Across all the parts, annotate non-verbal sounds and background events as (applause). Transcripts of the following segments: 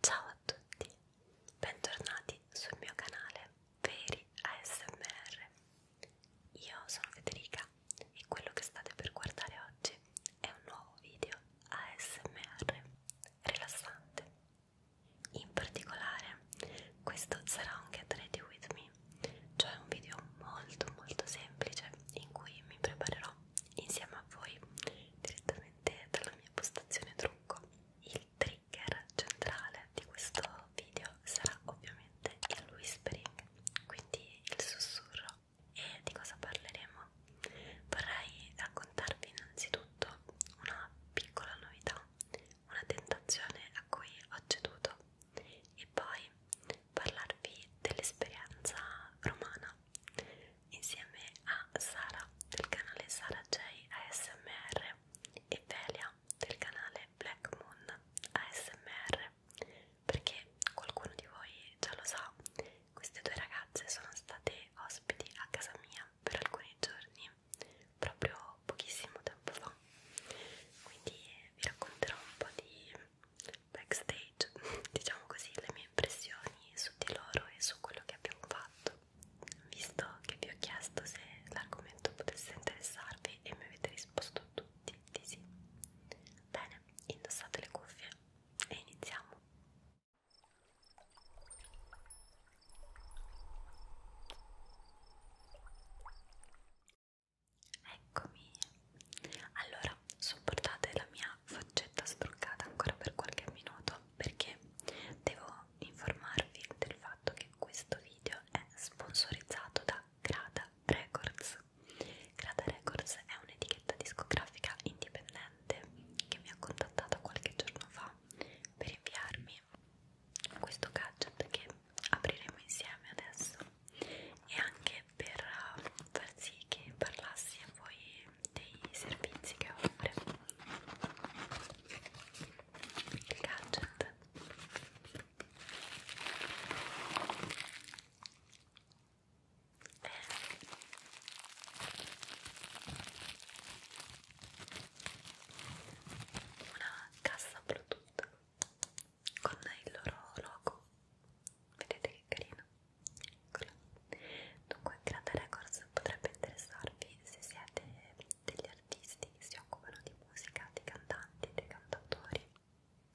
Ciao a tutti, bentornati sul mio canale Veri ASMR. Io sono Federica e quello che state per guardare oggi è un nuovo video ASMR rilassante. In particolare, questo sarà un Get Ready With Me, cioè un video molto molto semplice in cui mi preparerò insieme a voi direttamente dalla mia postazione trucco. Il trigger centrale di questo video sarà ovviamente il whispering, quindi il sussurro. E di cosa parleremo? Vorrei raccontarvi innanzitutto una piccola novità, una tentazione a cui ho ceduto e poi parlarvi dell'esperienza romana insieme a Sara del canale Sara J ASMR e Velia del canale Black Moon ASMR perché qualcuno di voi già lo sa queste due ragazze sono state ospiti a casa mia per alcuni giorni proprio pochissimo tempo fa quindi vi racconterò un po' di backstage, (laughs) diciamo così, le mie impressioni su di loro e su quello che abbiamo fatto, visto che vi ho chiesto se l'argomento potesse interessarvi e mi avete risposto tutti di sì. Bene, indossate le cuffie e iniziamo. Eccomi, allora, sopportate la mia faccetta struccata ancora per qualche minuto perché devo informarvi del fatto che questo video è sponsorizzato da Grada Records. Grada Records è un'etichetta discografica indipendente che mi ha contattata qualche giorno fa per inviarmi questo gadget che apriremo insieme adesso e anche per eh, far sì che parlassi a voi dei servizi che offre il gadget una cassa bluetooth con il loro logo vedete che carino Eccola. Dunque, Grande Records potrebbe interessarvi se siete degli artisti che si occupano di musica, dei cantanti, dei cantatori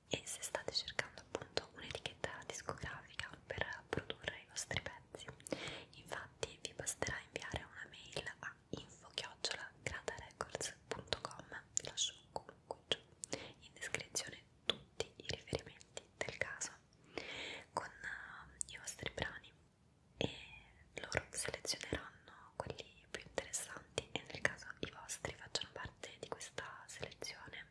e se state cercando appunto un'etichetta discografica per produrre i vostri pezzi. Infatti vi basterà inviare una mail a info-gradarecords.com vi lascio comunque giù in descrizione tutti i riferimenti del caso con eh, i vostri brani e loro selezioneranno quelli più interessanti e nel caso i vostri facciano parte di questa selezione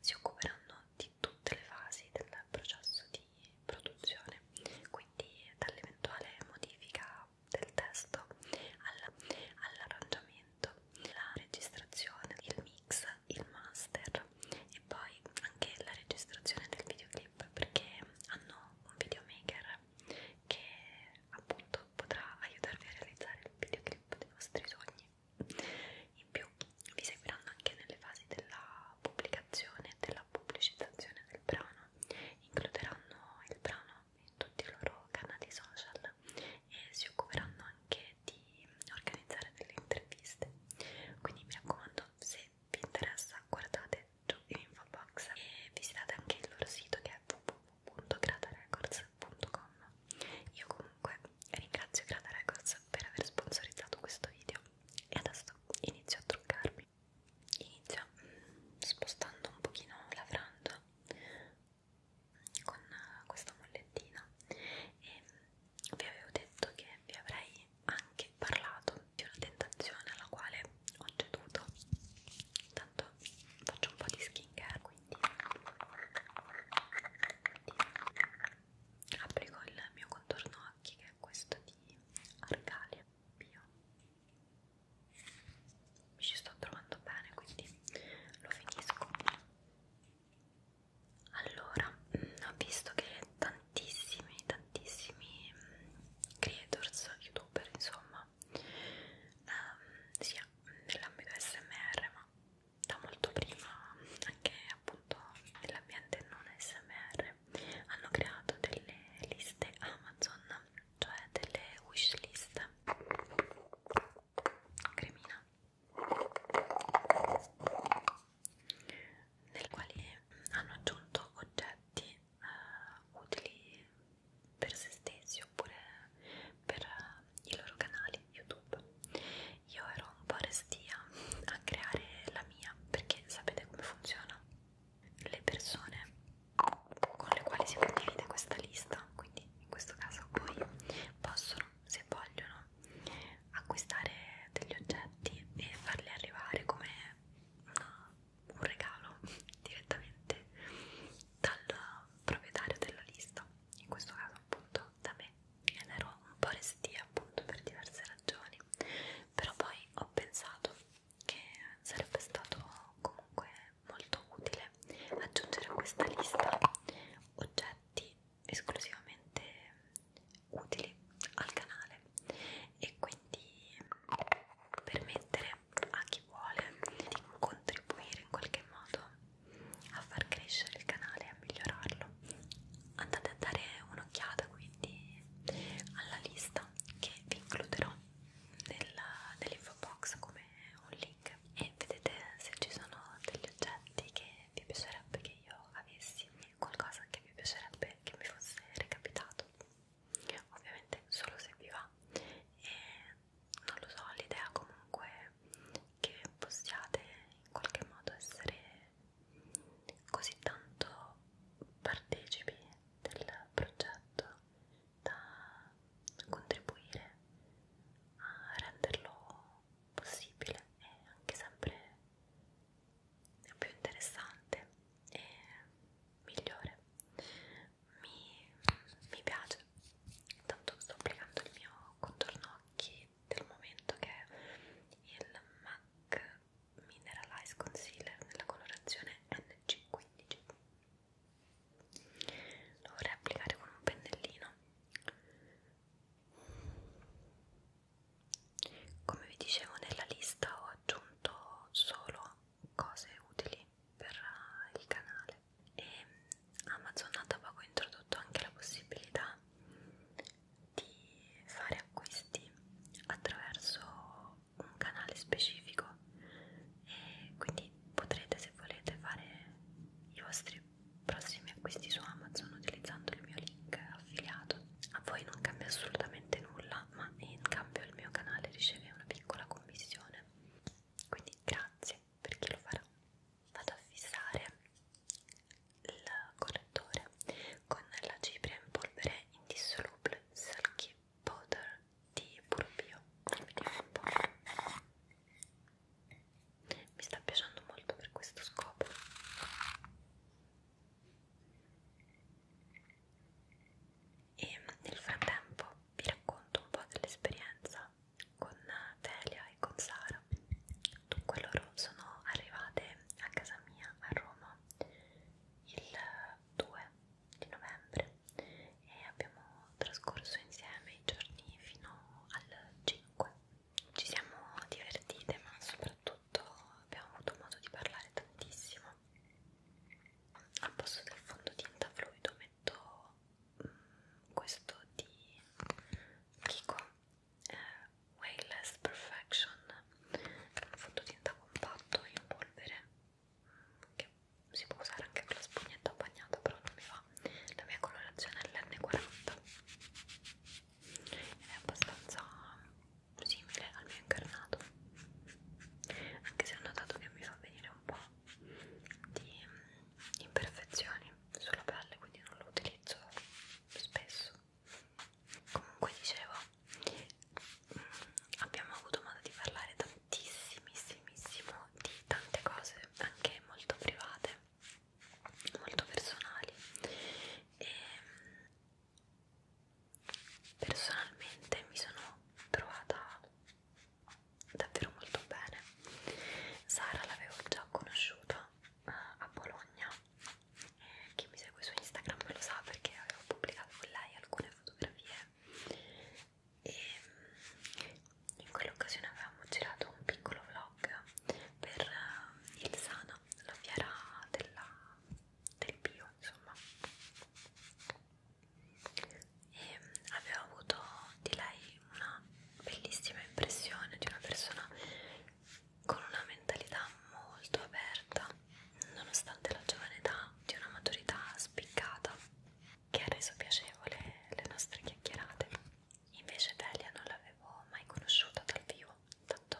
si occuperanno di tutte le fasi del processo di produzione quindi dall'eventuale modifica del testo all'arrangiamento momento la registrazione, il mix, il master e poi anche la registrazione del videoclip perché hanno un videomaker che appunto potrà aiutarvi a realizzare il videoclip dei vostri sogni in più vi seguiranno anche nelle fasi della pubblicazione e della pubblicizzazione del brano includeranno il brano in tutti i loro canali social e si occuperanno anche di organizzare delle interviste quindi mi raccomando se vi interessa guardate giù in info box e visitate anche il loro sito che è www.gratarecords.com io comunque ringrazio Grata Records per aver sponsorizzato questo video e adesso inizio a truccarmi inizio spostando un pochino la franja con eh, questa mollettina e vi avevo detto che vi avrei anche parlato di una tentazione alla quale ho ceduto tanto faccio un po' di skincare quindi applico il mio contorno occhi che è questo di Arcalia Bio mi ci sto trovando bene quindi lo finisco allora mm, ho visto che tantissimi tantissimi mm, creators youtuber insomma ehm, sia nell'ambito smr ma da molto prima anche appunto nell'ambiente non smr hanno creato delle liste amazon cioè delle wishlist cremina nel quale hanno aggiunto oggetti eh, utili per se stessi oppure per eh, i loro canali YouTube. Io ero un po' restia a creare la mia perché sapete come funziona? Le persone con le quali si condivide questa lista, quindi quindi in questo caso qui possono, se vogliono, acquistare degli oggetti e farli arrivare come una, un regalo (laughs) direttamente dal proprietario della lista, in questo caso appunto da me ed ero un po' restia appunto per diverse ragioni, però poi ho pensato che sarebbe stato comunque molto utile aggiungere a questa lista oggetti esclusivamente utili al canale e quindi permettere a chi vuole di contribuire in qualche modo a far crescere il canale e a migliorarlo andate a dare un'occhiata quindi alla lista che vi includerò nell'info nell box come un link unboxing e vedete se ci sono degli oggetti che vi piacerebbe che io avessi qualcosa che vi piacerebbe che mi fosse recapitato ovviamente solo se vi va e non lo so l'idea comunque che possiate in qualche modo essere così tanto partecipi del progetto da contribuire a renderlo possibile e anche sempre più interessante e migliore mi, mi piace tanto sto applicando il mio contorno occhi del momento che è il MAC Mineralize Concealer nella colorazione NC15 lo vorrei applicare con un pennellino come vi dicevo nella lista ho aggiunto solo cose utili per eh, il canale e mm, Amazon ha poco introdotto anche la possibilità di fare acquisti attraverso un canale specifico quindi potrete se volete fare i vostri prossimi acquisti su Amazon utilizzando il mio link affiliato a voi non cambia assolutamente nulla ma in cambio il mio canale riceve una piccola commissione quindi grazie per chi lo farà vado a fissare il correttore con la cipria in polvere indissolubile Silky powder di Purpio vediamo un po' mi sta piacendo molto per questo scopo e nel frattempo vi racconto un po' dell'esperienza con Delia e con Sara dunque loro sono arrivate a casa mia a Roma il 2 di novembre e abbiamo trascorso insieme i giorni fino al 5. Ci siamo divertite ma soprattutto abbiamo avuto modo di parlare tantissimo. Al posto del fondotinta fluido metto mh, mm, questo di Kiko eh, Wayless Perfection, un fondotinta compatto in polvere che si può usare anche con la spugnetta bagnata però non mi va la mia colorazione è l'N40 ed è abbastanza simile al mio incarnato anche se ho notato che mi fa venire un po' di imperfezioni sulla pelle quindi non lo utilizzo spesso comunque dicevo abbiamo avuto modo di parlare da tantissimissimo di tante cose anche molto private molto personali e ehm, personalmente mi sono trovata davvero molto bene Sara l'avevo già conosciuta uh, a Bologna eh, chi mi segue su Instagram lo sa perché avevo pubblicato con lei alcune fotografie e ehm, in quell'occasione avevamo girato un piccolo vlog per eh, il Sana, la fiera della, del bio insomma e avevo avuto di lei una bellissima impressione di una persona con una mentalità molto aperta nonostante la giovane età di una maturità spiccata che ha reso piacevole le nostre chiacchierate. Invece Delia non l'avevo mai conosciuta dal vivo, tanto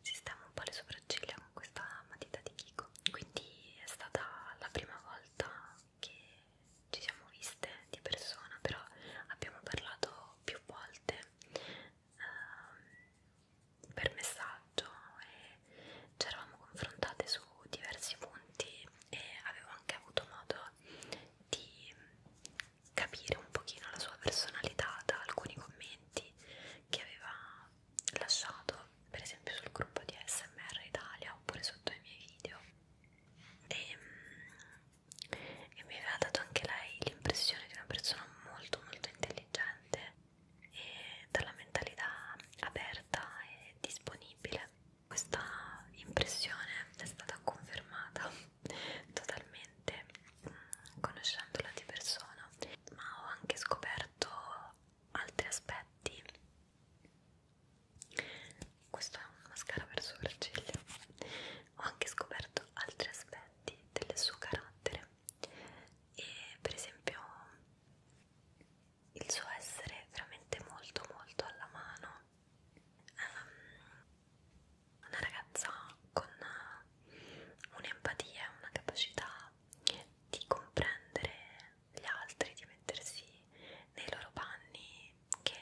sistemo un po' le sopracciglia con questa matita di Kiko, quindi è stata la prima volta che ci siamo viste di persona, però abbiamo parlato più volte ehm, per messaggio e ci eravamo confrontate su diversi punti e avevo anche avuto modo di capire un pochino la sua personalità da alcuni commenti che aveva lasciato per esempio sul gruppo di SMR Italia oppure sotto i miei video e, ehm, e mi aveva dato anche lei l'impressione di una persona molto molto intelligente e dalla mentalità aperta e disponibile. Questa impressione è stata confermata (laughs) totalmente mm, conoscendola di persona, ma ho anche scoperto altri aspetti. Questo è un mascara per sopracciglia. Ho anche scoperto altri aspetti del suo carattere e per esempio il suo essere veramente molto molto alla mano um, una ragazza con un'empatia una capacità di comprendere gli altri di mettersi nei loro panni che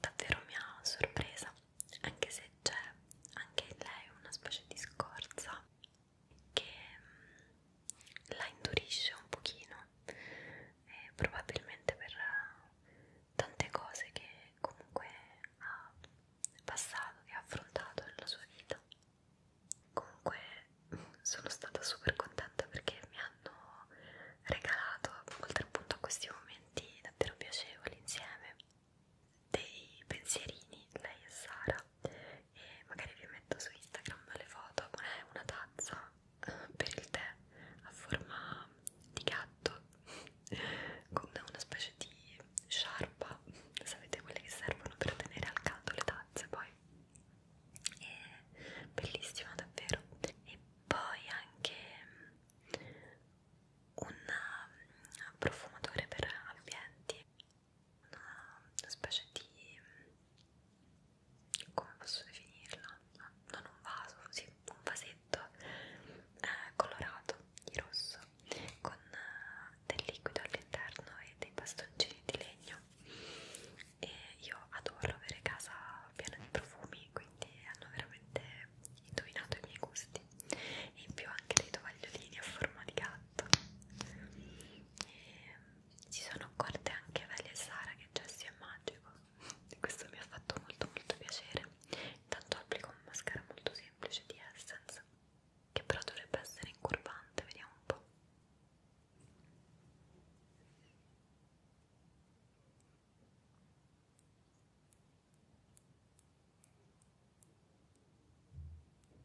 davvero mi ha sorpresa anche se c'è anche in lei una specie di scorza che mm, la indurisce un pochino eh, probabilmente per eh, tante cose che comunque ha passato che ha affrontato nella sua vita comunque (laughs) sono stata super contenta perché mi hanno regalato oltre appunto a questi momenti davvero piacevoli insieme dei pensierini lei e Sara e magari vi metto su Instagram delle foto una, una tazza eh, per il tè a forma di gatto (laughs) con una specie di sciarpa sapete quelle che servono per tenere al caldo le tazze poi è bellissima davvero e poi anche mm, un mm, profumatore per ambienti una, una specie di come posso definirla? Non un vaso, sì, un vasetto eh, colorato di rosso con eh, del liquido all'interno e dei bastoncini di legno. E io adoro avere casa piena di profumi, quindi hanno veramente indovinato i miei gusti. E in più anche dei tovagliolini a forma di gatto si sono accorte anche Vale e Sara che Jessie è magico e questo mi ha fatto molto molto piacere intanto applico un mascara molto semplice di Essence che però dovrebbe essere incurvante, vediamo un po'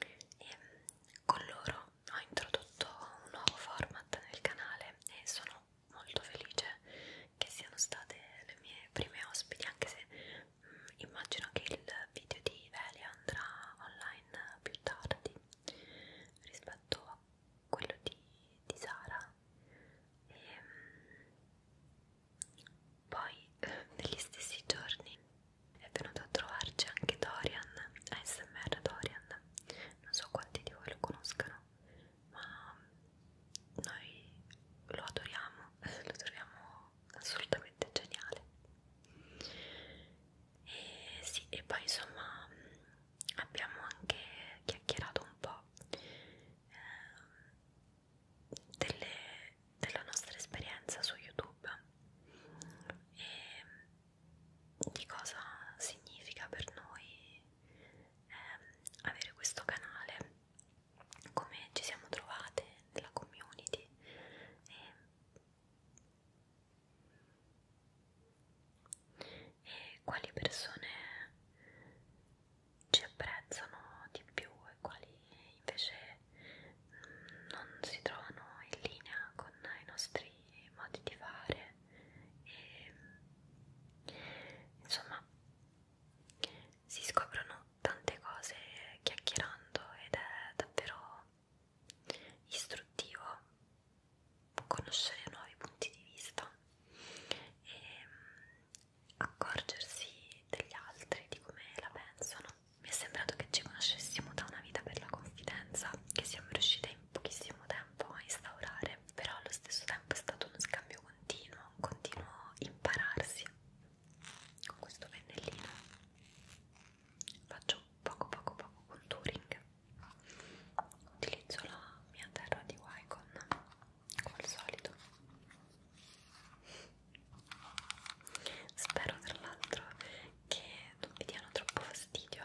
E ehm, con loro ho introdotto un nuovo format nel canale e sono molto felice che siano state le mie prime ospiti, anche se mh, mm, immagino che il video di Velia andrà online più tardi rispetto a quello di, di Sara. E, ehm, mh, poi, (laughs) negli stessi giorni, è venuto a trovarci anche Dorian, ASMR Dorian. Non so quanti di voi lo conoscano, ma noi lo adoriamo, (laughs) lo troviamo assolutamente geniale. E sì, e poi insomma abbiamo anche chiacchierato un po' eh, delle della nostra esperienza su YouTube e di cosa significa per noi eh, avere questo canale, come ci siamo trovate nella community. E, e quali persone ci apprezzano di più e quali invece mm, non si trovano in linea con i nostri modi di fare e mm, insomma si scoprono tante cose chiacchierando ed è davvero istruttivo conoscere nuovi punti di vista e mm, accorgersi degli altri di come la pensano mi è sembrato che ci conoscessimo da una vita per la confidenza che siamo riuscite in pochissimo tempo a instaurare, però allo stesso tempo è stato uno scambio continuo, un continuo impararsi. Con questo pennellino faccio poco poco poco contouring, utilizzo la mia terra di Wycon come al solito Spero tra l'altro che non vi diano troppo fastidio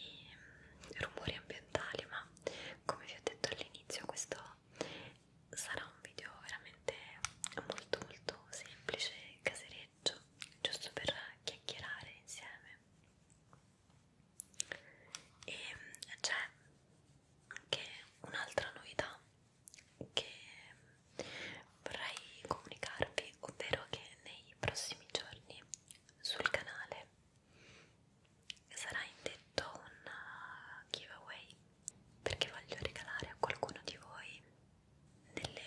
i rumori ambientali, ma come vi ho detto all'inizio questo sarà un video veramente molto molto semplice, casereggio, giusto per chiacchierare insieme. E c'è anche un'altra novità che vorrei comunicarvi, ovvero che nei prossimi giorni sul canale sarà indetto un uh, giveaway perché voglio regalare a qualcuno di voi delle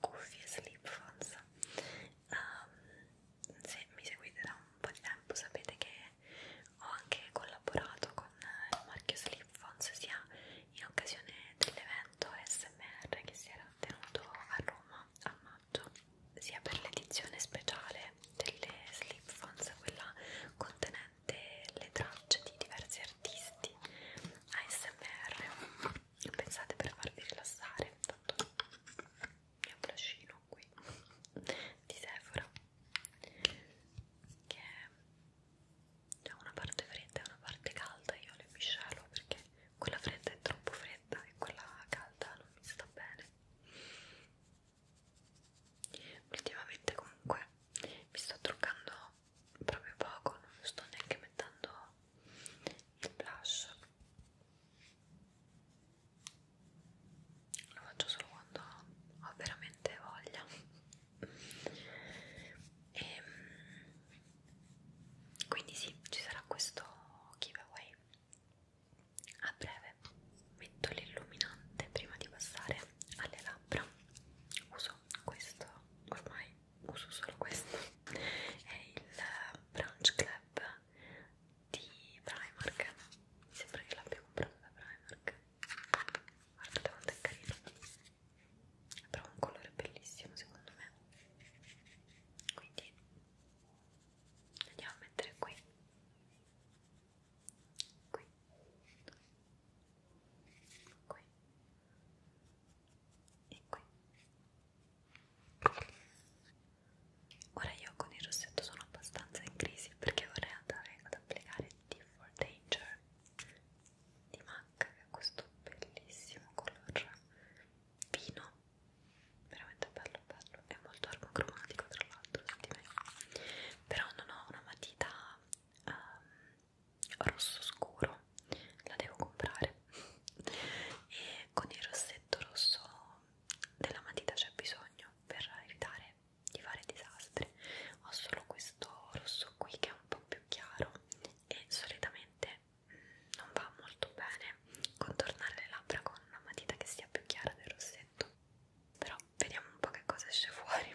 cuffie slip phones um, se mi seguite da un po' di tempo sapete che ho anche collaborato con il marchio Slipfons sia in occasione dell'evento SMR che si era tenuto a Roma a maggio sia per l'edizione speciale delle Slipfons, quella contenente le tracce di diversi artisti ASMR pensate per farvi rilassare tanto il mio bluscino qui (laughs) di Sephora che c'è una parte fredda e una parte calda io le miscelo perché quella fredda è troppo fredda e quella calda non mi sta bene ultimamente comunque mi sto truccando proprio poco non sto neanche mettendo il blush lo faccio solo quando ho veramente voglia e ehm, quindi sì ci sarà questo giveaway a breve metto l'illuminante prima di passare alle labbra uso questo ormai uso solo questo è il Branch Club di Primark mi sembra che l'abbia comprato da Primark guardate quanto è carino però un colore bellissimo secondo me quindi andiamo a mettere qui qui qui e qui ora io con il rossetto sono abbastanza in crisi perché vorrei andare ad applicare Beautiful Danger di MAC che ha questo bellissimo color vino veramente bello bello è molto armocromatico tra l'altro di me però non ho una matita um, rosso scuro la devo comprare (laughs) e con il rossetto rosso della matita c'è bisogno per evitare di fare disastri ho solo questo rosso qui che è un po' più chiaro e solitamente mm, non va molto bene contornare le labbra con una matita che sia più chiara del rossetto però vediamo un po' che cosa esce fuori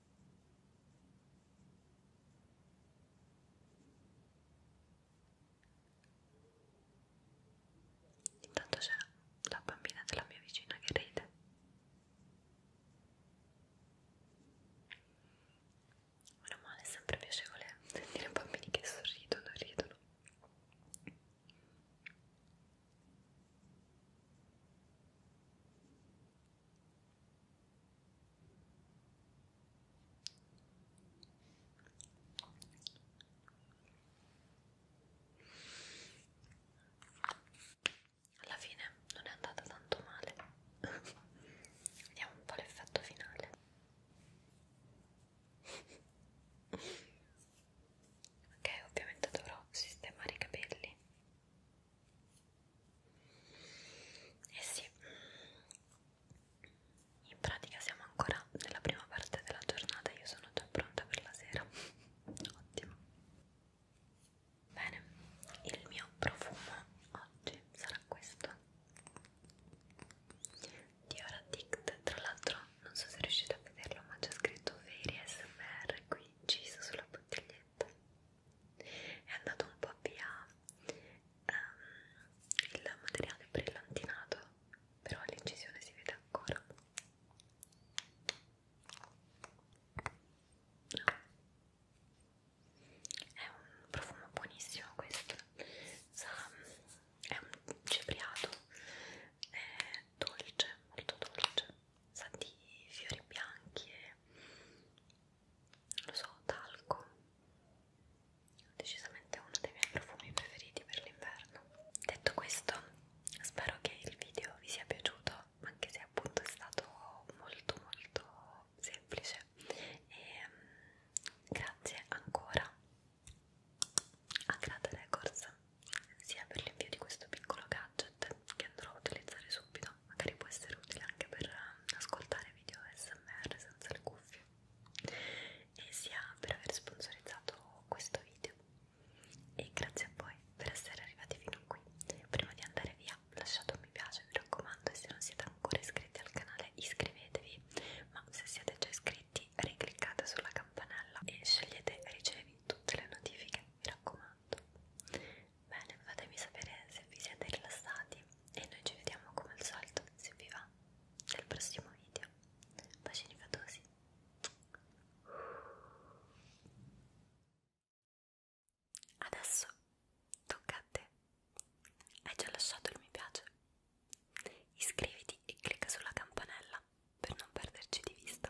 Intanto c'è la bambina della mia vicina che ride. Meno male, è sempre piacevole sentire bambini che sorridono e ridono. Alla fine non è andata tanto male. (laughs) Vediamo un po' l'effetto finale. ok, ovviamente dovrò sistemare i capelli e eh sì, in pratica siamo ancora nella prima parte della giornata, io sono già pronta per la sera. Ottimo. Bene, il mio profumo oggi sarà questo. Dior Addict, tra l'altro non so se riuscite a vederlo ma c'è scritto veri SMR qui inciso sulla bottiglietta è andato un po' via um, il materiale brillantinato però l'incisione si vede ancora no. è un profumo buonissimo questo Sa, è un cepriato è dolce molto dolce sa di fiori bianchi e lo so, talco decisamente uno dei miei profumi preferiti per l'inverno detto questo spero che il video vi sia piaciuto anche se appunto è stato molto molto semplice e um, grazie ancora a Grata Records sia per l'invio di questo piccolo gadget che andrò a utilizzare subito magari può essere utile anche per eh, ascoltare video smr senza le cuffie e sia per aver sponsorizzato questo video e grazie a voi per essere arrivati fino a qui prima di andare via lasciate un mi piace mi raccomando e se non siete ancora iscritti al canale iscrivetevi ma se siete già iscritti ricliccate sulla campanella e scegliete ricevi tutte le notifiche mi raccomando Bene, fatemi sapere se vi siete rilassati e noi ci vediamo come al solito, se vi va, nel prossimo video. Bacini fatosi! Adesso tocca a te. Hai già lasciato il mi piace? Iscriviti e clicca sulla campanella per non perderci di vista